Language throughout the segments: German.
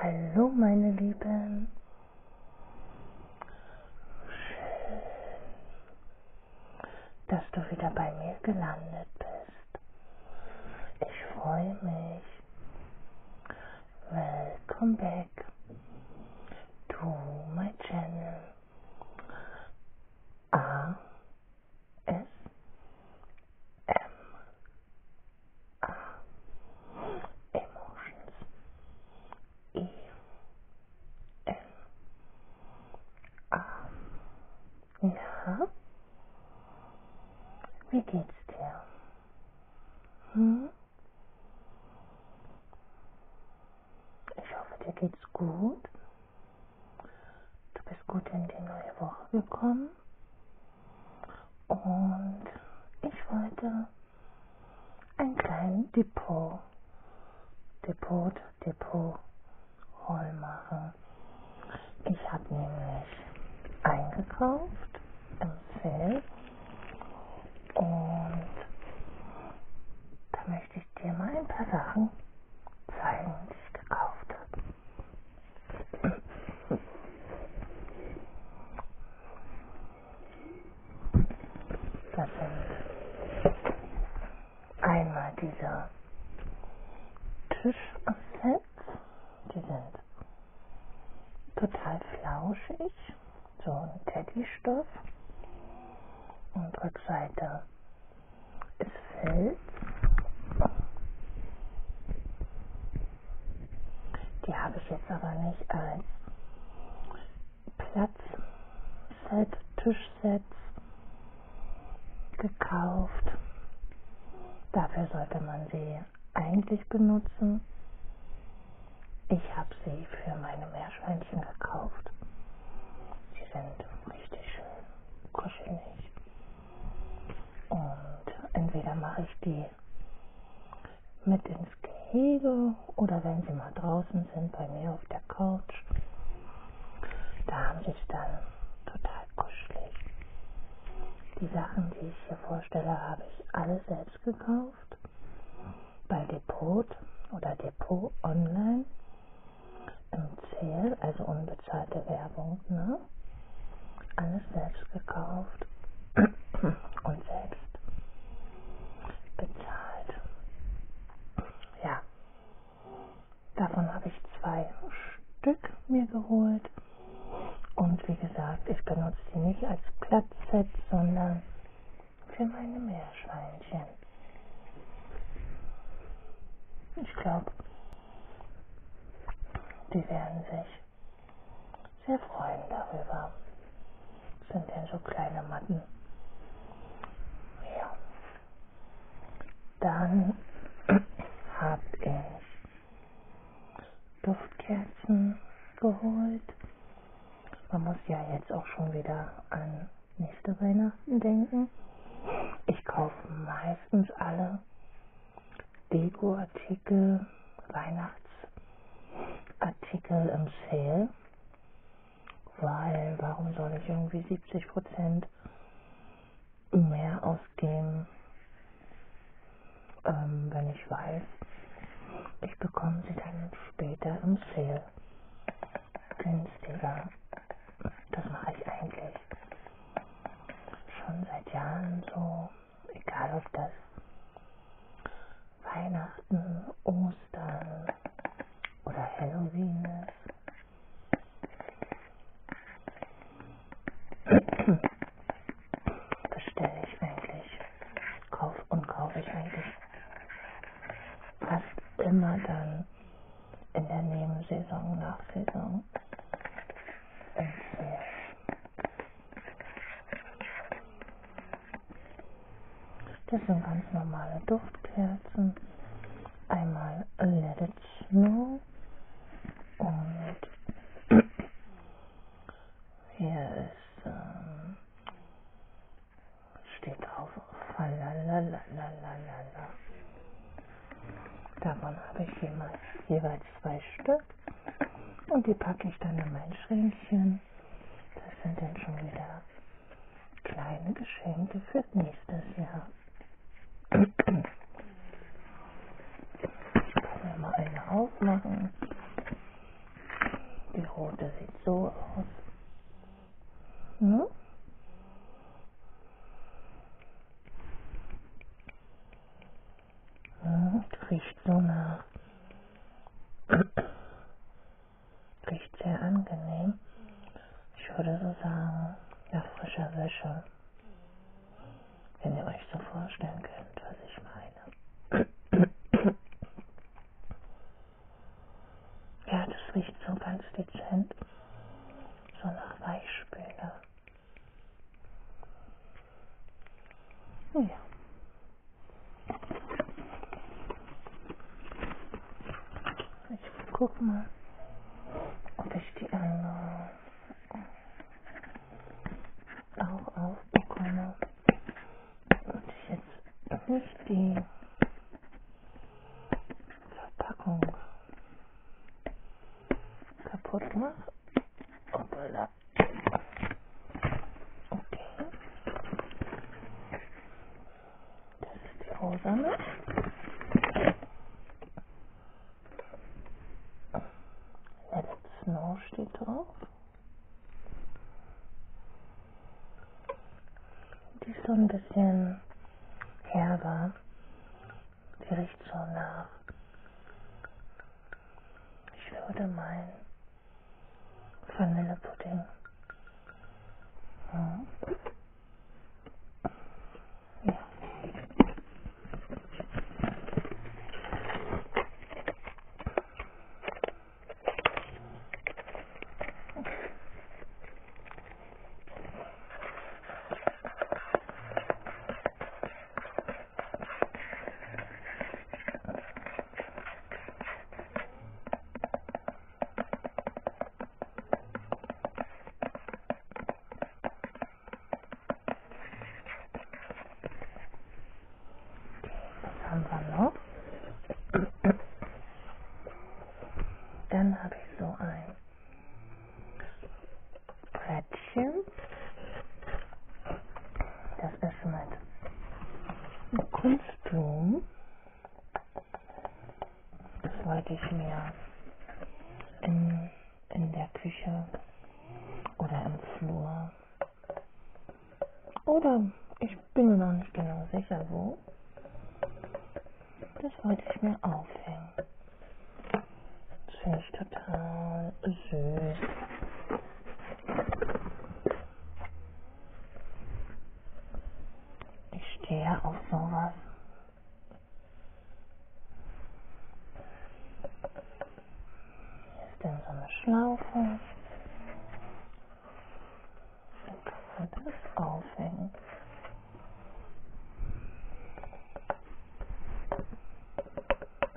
Hallo meine Lieben. Schön, dass du wieder bei mir gelandet bist. Ich freue mich. Welcome back to my channel. A ah, S M A Emotions E M A Na? Wie geht's dir? Hm? Ich hoffe, dir geht's gut. Du bist gut in die neue Woche gekommen. Leben. Und ich wollte ein kleines Depot, Depot, Depot, Roll machen. Ich habe nämlich eingekauft im Sale und da möchte ich dir mal ein paar Sachen zeigen, die ich gekauft habe. Das sind einmal diese Tischsets, die sind total flauschig, so ein Teddystoff und Rückseite ist Fels. Die habe ich jetzt aber nicht als Platzset, Tischsets gekauft. Dafür sollte man sie eigentlich benutzen. Ich habe sie für meine Meerschweinchen gekauft. Sie sind richtig schön kuschelig. Und entweder mache ich die mit ins Gehege oder wenn sie mal draußen sind bei mir auf der Couch, da haben sie es dann total kuschelig. Die Sachen, die ich hier vorstelle, habe ich alle selbst gekauft. Bei Depot oder Depot online. Im Zähl, also unbedingt unbezahlte Werbung. Ne? Alles selbst gekauft und selbst bezahlt. Ja, davon habe ich zwei Stück mir geholt. Und wie gesagt, ich benutze die nicht als Platzset, sondern für meine Meerschweinchen. Ich glaube, die werden sich sehr freuen darüber. Das sind ja so kleine Matten. Ja. Dann habe ich Duftkerzen geholt. Man muss ja jetzt auch schon wieder an nächste Weihnachten denken. Ich kaufe meistens alle Dekoartikel, Weihnachtsartikel im Sale, weil warum soll ich irgendwie 70% mehr ausgeben, ähm, wenn ich weiß, ich bekomme sie dann später im Sale günstiger. Das mache ich eigentlich schon seit Jahren so, egal ob das Weihnachten, Ostern oder Halloween ist, bestelle ich eigentlich, kaufe und kaufe ich eigentlich fast immer dann in der Nebensaison, Nachsaison das sind ganz normale Duftkerzen. Einmal Let It Snow und hier ist ähm, steht drauf Falalalalala. Davon habe ich jeweils, jeweils zwei Stück und die packe ich dann in mein Schränkchen. Das sind dann schon wieder kleine Geschenke für nächstes Jahr. Ich kann ja mal eine aufmachen. Die rote sieht so aus. Hm? Ja, hm, das riecht so nach. riecht sehr angenehm. Ich würde so sagen, nach frischer Wäsche. Wenn ihr euch so vorstellen könnt, was ich meine. ja, das riecht so ganz dezent. So nach Weichspüler. Oh ja. Ich guck mal, ob ich die anderen auch aufbekomme. Und ich jetzt nicht die Verpackung kaputt mache. Hoppala. Okay. Das ist die Rosane. Let's Snow steht drauf. Die ist so ein bisschen herber. Die riecht so nach. Ich würde meinen Vanillepudding. Hm. Ja. 3 war noch. Dann habe Rädchen. Das ist mit Kunstblumen. Das wollte ich mir in, in der Küche oder im Flur. Oder ich bin mir noch nicht genau sicher wo. Das wollte ich mir aufhängen. Das finde ich total süß. Ich stehe auf sowas. Hier ist denn so eine Schlaufe. Dann kann man das aufhängen.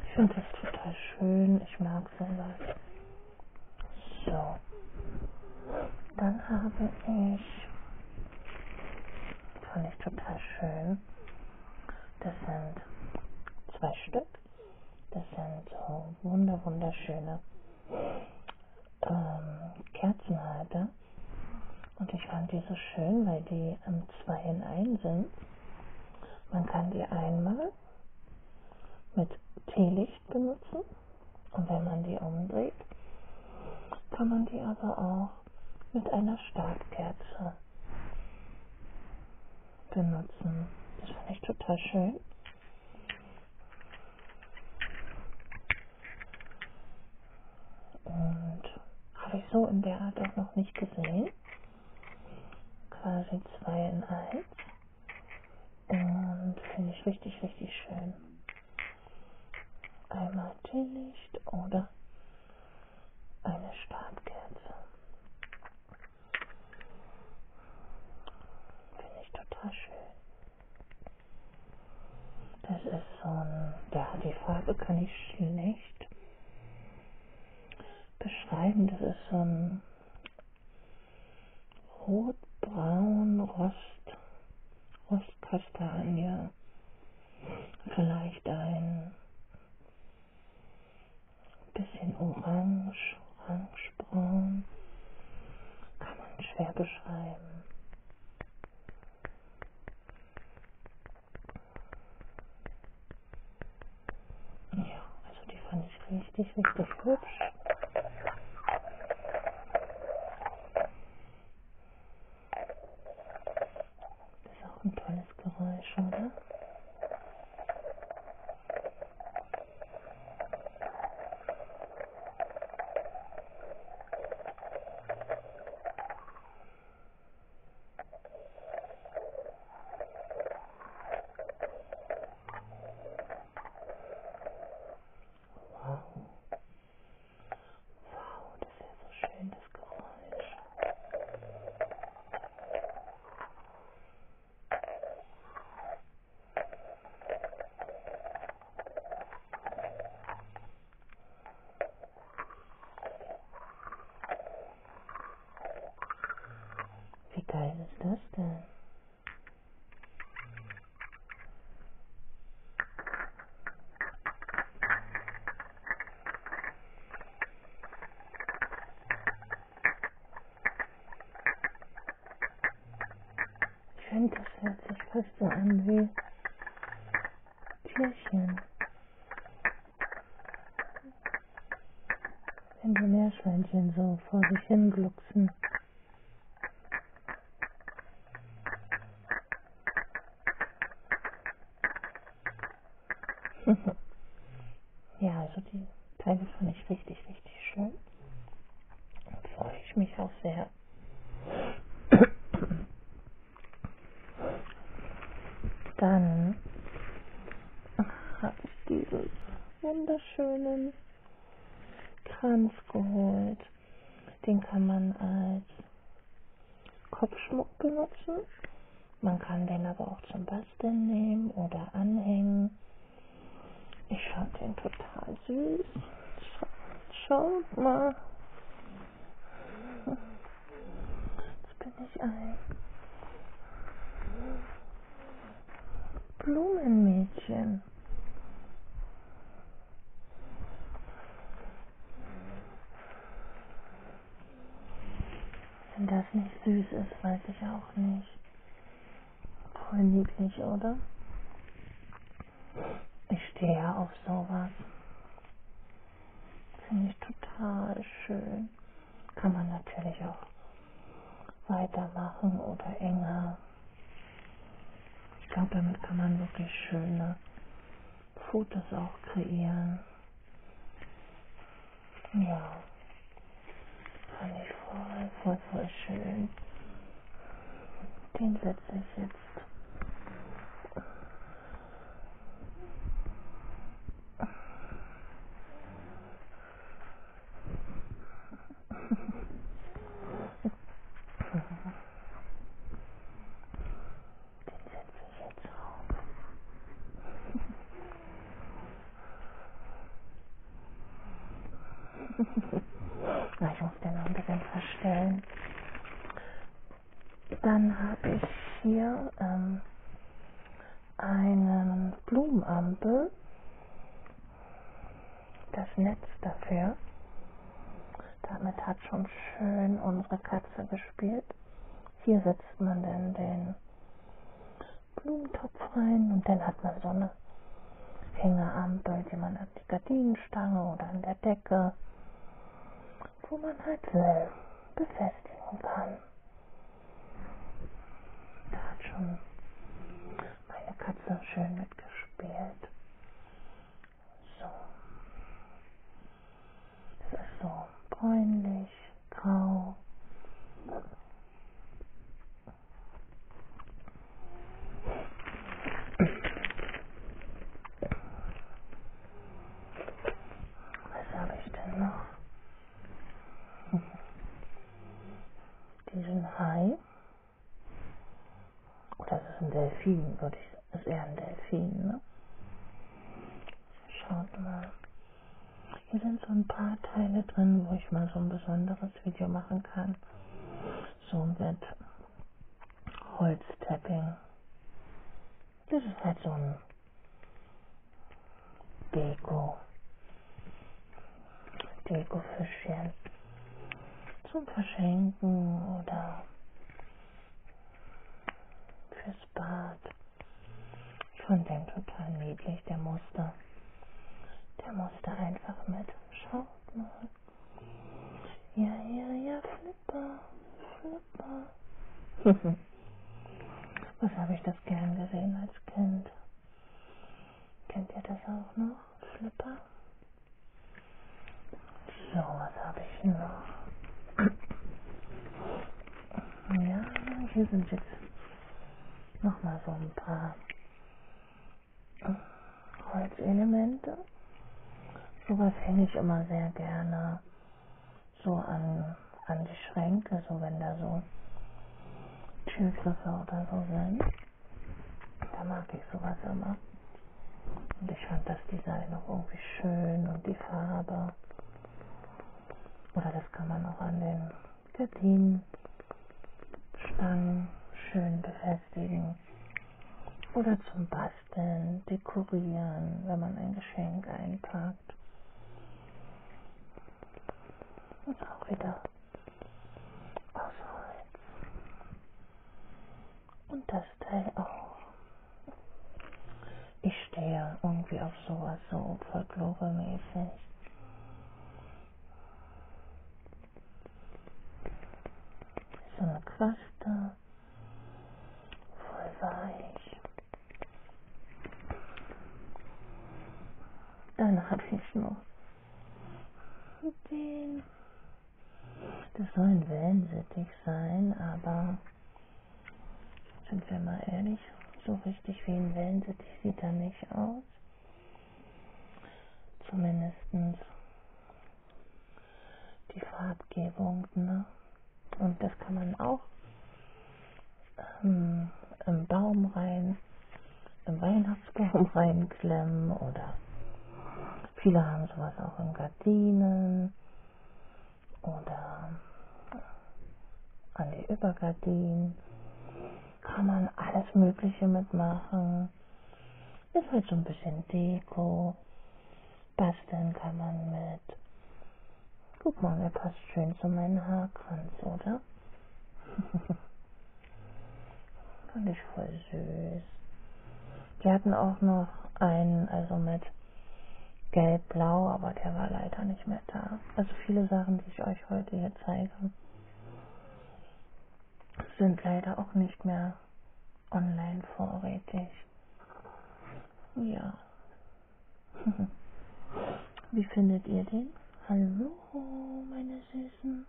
Ich finde das total schön. Ich mag sowas. So. Dann habe ich, fand ich total schön, das sind zwei Stück. Das sind so wunder wunderschöne ähm, Kerzenhalter. Und ich fand die so schön, weil die ähm, zwei in ein sind. Man kann die einmal mit Teelicht benutzen und wenn man die umdreht, kann man die aber auch mit einer Startkerze benutzen. Das finde ich total schön. Und habe ich so in der Art auch noch nicht gesehen. Quasi 2 in 1. Ähm, Finde ich richtig, richtig schön. Einmal Teelicht oder eine Stabkerze. Finde ich total schön. Das ist so ein, ja, die Farbe kann ich schlecht beschreiben. Das ist so ein rotbraun Rost, Rost Kastanie, vielleicht ein bisschen orange, orangebraun, kann man schwer beschreiben. Ja, also die fand ich richtig, richtig hübsch. Das ist auch ein tolles Geräusch, oder? Wow. Wow, das ist ja so schön, das Geräusch. Wie geil ist das denn? Ich finde, das hört sich fast so an wie Tierchen. Wenn die Meerschweinchen so vor sich hin glucksen. ja, also die Teile fand ich richtig, richtig schön. Da freue ich mich auch sehr. Dann habe ich dieses wunderschönen Kranz geholt. Den kann man als Kopfschmuck benutzen. Man kann den aber auch zum Basteln nehmen oder anhängen. Ich fand den total süß. Schaut mal. Jetzt bin ich ein Blumenmädchen. Wenn das nicht süß ist, weiß ich auch nicht. Voll niedlich, oder? Ich stehe ja auf sowas. Finde ich total schön. Kann man natürlich auch weitermachen oder enger ich glaube, damit kann man wirklich schöne Fotos auch kreieren. Ja, fand ich voll, voll, voll schön. Den setze ich jetzt Na, ich muss den noch ein bisschen verstellen. Dann habe ich hier ähm, einen Blumenampel, das Netz dafür. Damit hat schon schön unsere Katze gespielt. Hier setzt man dann den Blumentopf rein und dann hat man so eine Hängerampel, die man an die Gardinenstange oder an der Decke, wo man halt will, befestigen kann. Da hat schon meine Katze schön mitgespielt. So. Das ist so bräunlich, grau. Was habe ich denn noch? Diesen Hai. Oder ist es ein Delfin, würde ich sagen. Das ist eher ein Delfin, ne? Schaut mal. Hier sind so ein paar Teile drin, wo ich mal so ein besonderes Video machen kann. So mit Holztapping. Das ist halt so ein Deko. Deko-Fischchen zum Verschenken oder fürs Bad. Ich fand den total niedlich, der musste. Der musste einfach mit. Schaut mal. Ja, ja, ja, Flipper, Flipper. Was habe ich das gern gesehen als Kind? Kennt ihr das auch noch? Flipper? So, was habe ich noch? Ja, hier sind jetzt nochmal so ein paar äh, Holzelemente. Sowas hänge ich immer sehr gerne so an, an die Schränke, so wenn da so Türgriffe oder so sind. Da mag ich sowas immer. Und ich fand das Design auch irgendwie schön und die Farbe. Oder das kann man auch an den Gardinen, Stangen schön befestigen. Oder zum Basteln, dekorieren, wenn man ein Geschenk einpackt. Und auch wieder aus Holz. Und das Teil auch. Ich stehe irgendwie auf sowas so folkloremäßig. So eine Quaste. Voll weich. Dann habe ich noch den das soll ein Wellensittich sein, aber sind wir mal ehrlich, so richtig wie ein Wellensittich sieht er nicht aus. Zumindest die Farbgebung, ne? Und das kann man auch ähm, im Baum rein, im Weihnachtsbaum reinklemmen oder viele haben sowas auch im Garten. Gardinen oder äh, an die Übergardinen. Kann man alles Mögliche mitmachen. Ist halt so ein bisschen Deko. Basteln kann man mit. Guck mal, der passt schön zu meinem Haarkranz, oder? Fand ich voll süß. Wir hatten auch noch einen, also mit gelb-blau, aber der war leider nicht mehr da. Also viele Sachen, die ich euch heute hier zeige, sind leider auch nicht mehr online vorrätig. Ja. Wie findet ihr den? Hallo, meine Süßen.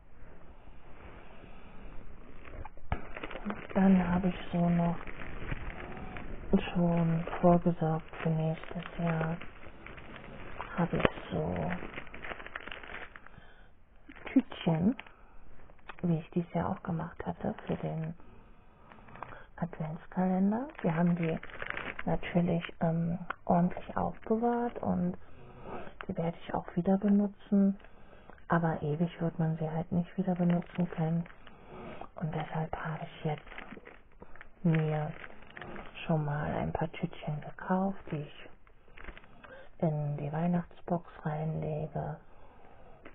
Dann habe ich so noch schon vorgesorgt für nächstes Jahr. Habe ich so Tütchen, wie ich dies Jahr auch gemacht hatte, für den Adventskalender. Wir haben die natürlich ähm, ordentlich aufbewahrt und die werde ich auch wieder benutzen benutzen, aber ewig wird man sie halt nicht wieder benutzen können. Und deshalb habe ich jetzt mir schon mal ein paar Tütchen gekauft, die ich in die Weihnachtsbox reinlege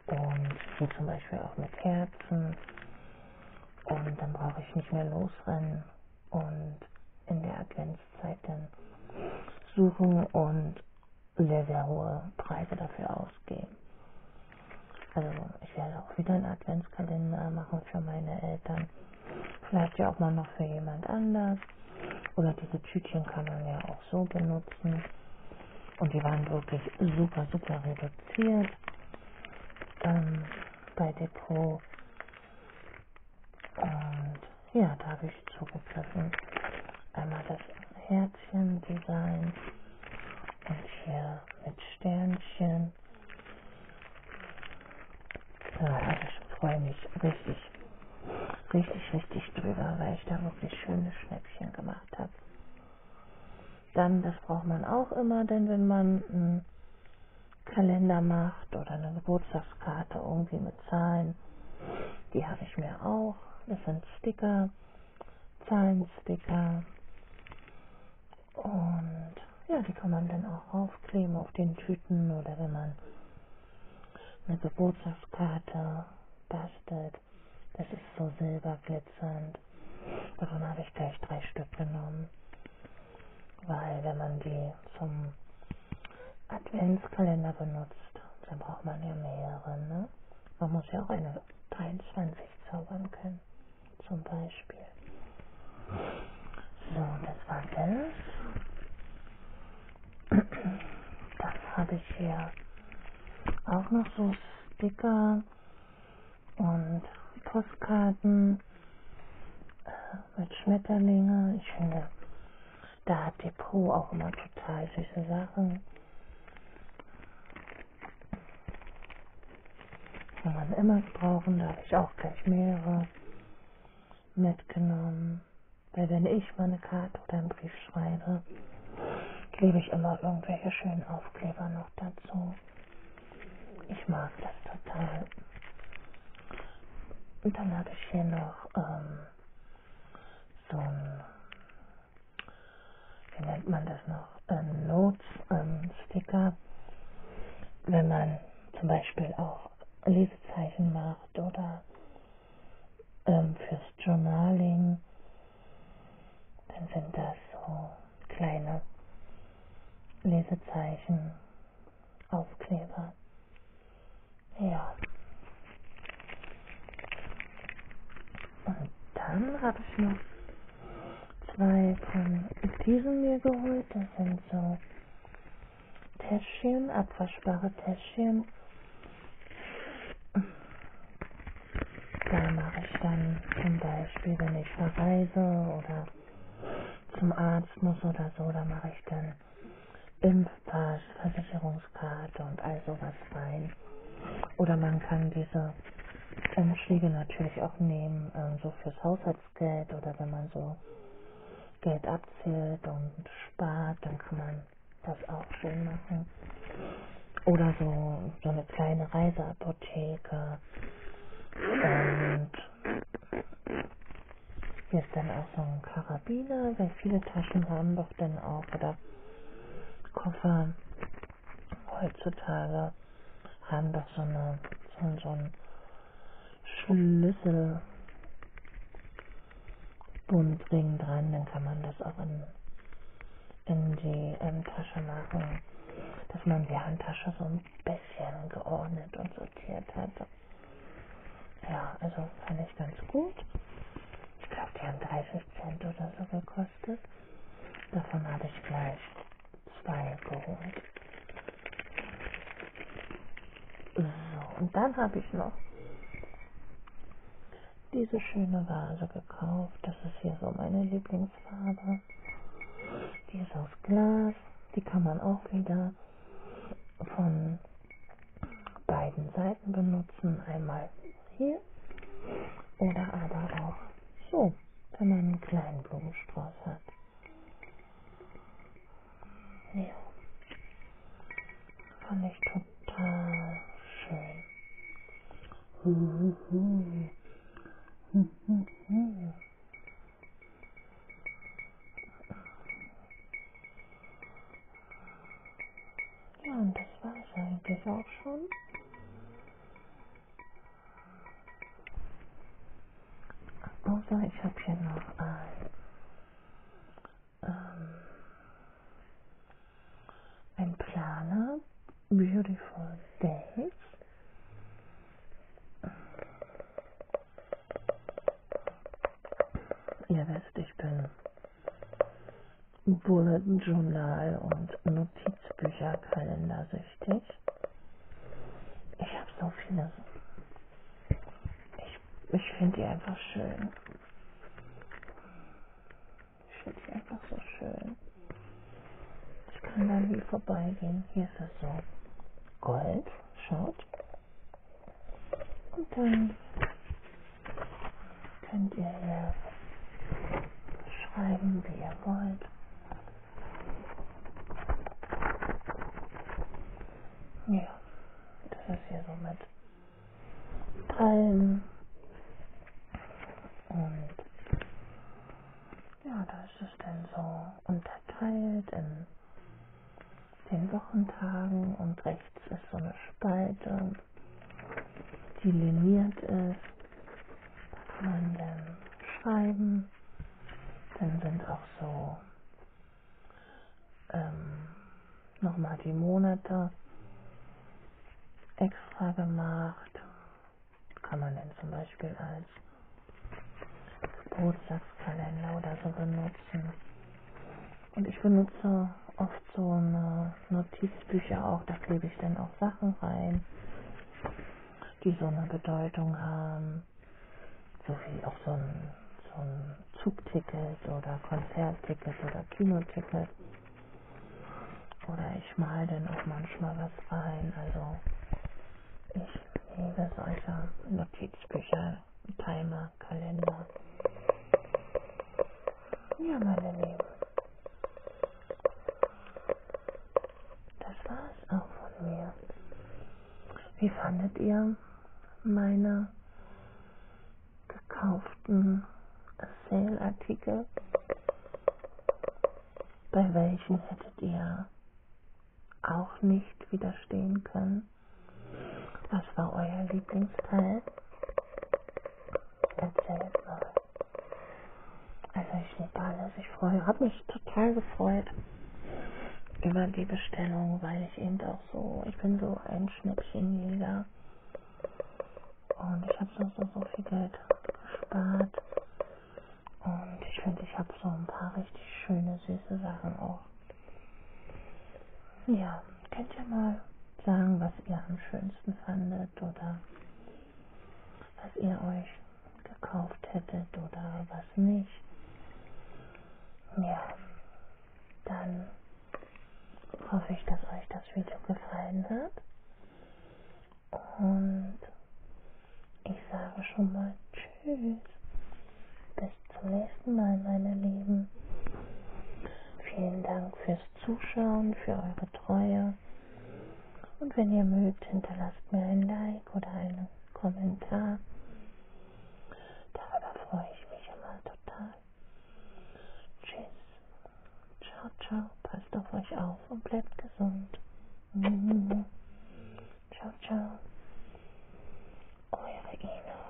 und wie zum Beispiel auch mit Kerzen und dann brauche ich nicht mehr losrennen und in der Adventszeit dann suchen und sehr, sehr hohe Preise dafür ausgeben. Also ich werde auch wieder einen Adventskalender machen für meine Eltern. Vielleicht ja auch mal noch für jemand anders. Oder diese Tütchen kann man ja auch so benutzen. Und die waren wirklich super, super reduziert ähm, bei Depot. Und ja, da habe ich zugepfiffen. Einmal das Herzchen-Design und hier mit Sternchen. Ja, ich freue mich richtig, richtig, richtig drüber, weil ich da wirklich schöne Schnäppchen gemacht habe. Dann, das braucht man auch immer, denn wenn man einen Kalender macht oder eine Geburtstagskarte irgendwie mit Zahlen, die habe ich mir auch. Das sind Sticker. Zahlensticker. Und ja, die kann man dann auch aufkleben auf den Tüten oder wenn man eine Geburtstagskarte bastelt. Das ist so silberglitzernd. Davon habe ich gleich drei Stück genommen. Weil wenn man die zum Adventskalender benutzt, dann braucht man ja mehrere, ne? Man muss ja auch eine 23 zaubern können, zum Beispiel. So, das war Geld. Das habe ich hier auch noch so Sticker und Postkarten äh, mit Schmetterlinge. Ich finde, da hat Depot auch immer total süße Sachen. Kann man immer brauchen, da habe ich auch gleich mehrere mitgenommen. Weil wenn ich mal eine Karte oder einen Brief schreibe, klebe ich immer irgendwelche schönen Aufkleber noch dazu. Ich mag das total. Und dann habe ich hier noch ähm, so ein wie nennt man das noch, ähm, Notes, ähm, Sticker, wenn man zum Beispiel auch Lesezeichen macht oder ähm, fürs Journaling, dann sind das so kleine Lesezeichen, Aufkleber. Ja. Und dann habe ich noch zwei von diesen mir geholt. Das sind so Täschchen, abwaschbare Täschchen. Da mache ich dann zum Beispiel, wenn ich verreise oder zum Arzt muss oder so, da mache ich dann Impfpass, Versicherungs Himmelfahrtskarte und all sowas rein. Oder man kann diese Umschläge natürlich auch nehmen, äh, so fürs Haushaltsgeld oder wenn man so Geld abzählt und spart, dann kann man das auch schön machen. Oder so, so eine kleine Reiseapotheke. Und hier ist dann auch so ein Karabiner, weil viele Taschen haben doch dann auch oder Koffer heutzutage haben doch so eine so, so einen Schlüssel Bundring dran, dann kann man das auch in, in die ähm, Tasche machen, dass man die Handtasche so ein bisschen geordnet und sortiert hat. Ja, also fand ich ganz gut. Ich glaube, die haben drei Cent oder so gekostet. Davon habe ich gleich zwei geholt. So, und dann habe ich noch diese schöne Vase gekauft. Das ist hier so meine Lieblingsfarbe. Die ist aus Glas. Die kann man auch wieder von beiden Seiten Seiten benutzen. Einmal hier oder aber auch so, wenn man einen kleinen Blumenstrauß hat. Ja. Fand ich total schön. Ja, und das war es eigentlich auch schon. Also ich habe hier noch ein, ähm, ein Planer, Beautiful Days. Ihr wisst, ich bin Bullet Journal und Notizbücherkalender süchtig. Ich habe so viele. Ich, ich finde die einfach schön. Ich finde die einfach so schön. Ich kann da nie vorbeigehen. Hier ist es so. Gold, schaut. Und dann Könnt ihr hier schreiben, wie ihr wollt. Ja, das ist hier so mit Palmen. Und ja, da ist es dann so unterteilt in den Wochentagen und rechts ist so eine Spalte die liniert ist, darf man dann schreiben. Dann sind auch so ähm, nochmal die Monate extra gemacht. Kann man dann zum Beispiel als Geburtstagskalender oder so benutzen. Und ich benutze oft oft so eine Notizbücher auch, da klebe ich dann auch Sachen rein, die so eine Bedeutung haben, so wie auch so ein, so ein Zugticket oder Konzertticket oder Kinoticket. Oder ich male dann auch manchmal was rein, also ich liebe solche Notizbücher, Timer, Kalender. Ja, meine Lieben. Das war es auch von mir. Wie fandet ihr meine gekauften Sale-Artikel? Bei welchen hättet ihr auch nicht widerstehen können? Was war euer Lieblingsteil? Ganz selten. Also ich liebe alles. Ich freue, habe mich total gefreut über die Bestellung, weil ich eben auch so, ich bin so ein Schnäppchenjäger. Und ich habe so, so, so viel Geld gespart. Und ich finde, ich habe so ein paar richtig schöne, süße Sachen auch. Ja, könnt ihr mal sagen, was ihr am schönsten fandet oder was ihr euch gekauft hättet oder was nicht. Ja, dann hoffe ich, dass euch das Video gefallen hat. Und ich sage schon mal Tschüss. Bis zum nächsten Mal, meine Lieben. Vielen Dank fürs Zuschauen, für eure Treue. Und wenn ihr mögt, hinterlasst mir ein Like oder einen Kommentar. Darüber freue ich mich immer total. Tschüss. Ciao, ciao. Passt auf euch auf und bleibt gesund. Mhm. Ciao, ciao. Eure Ina.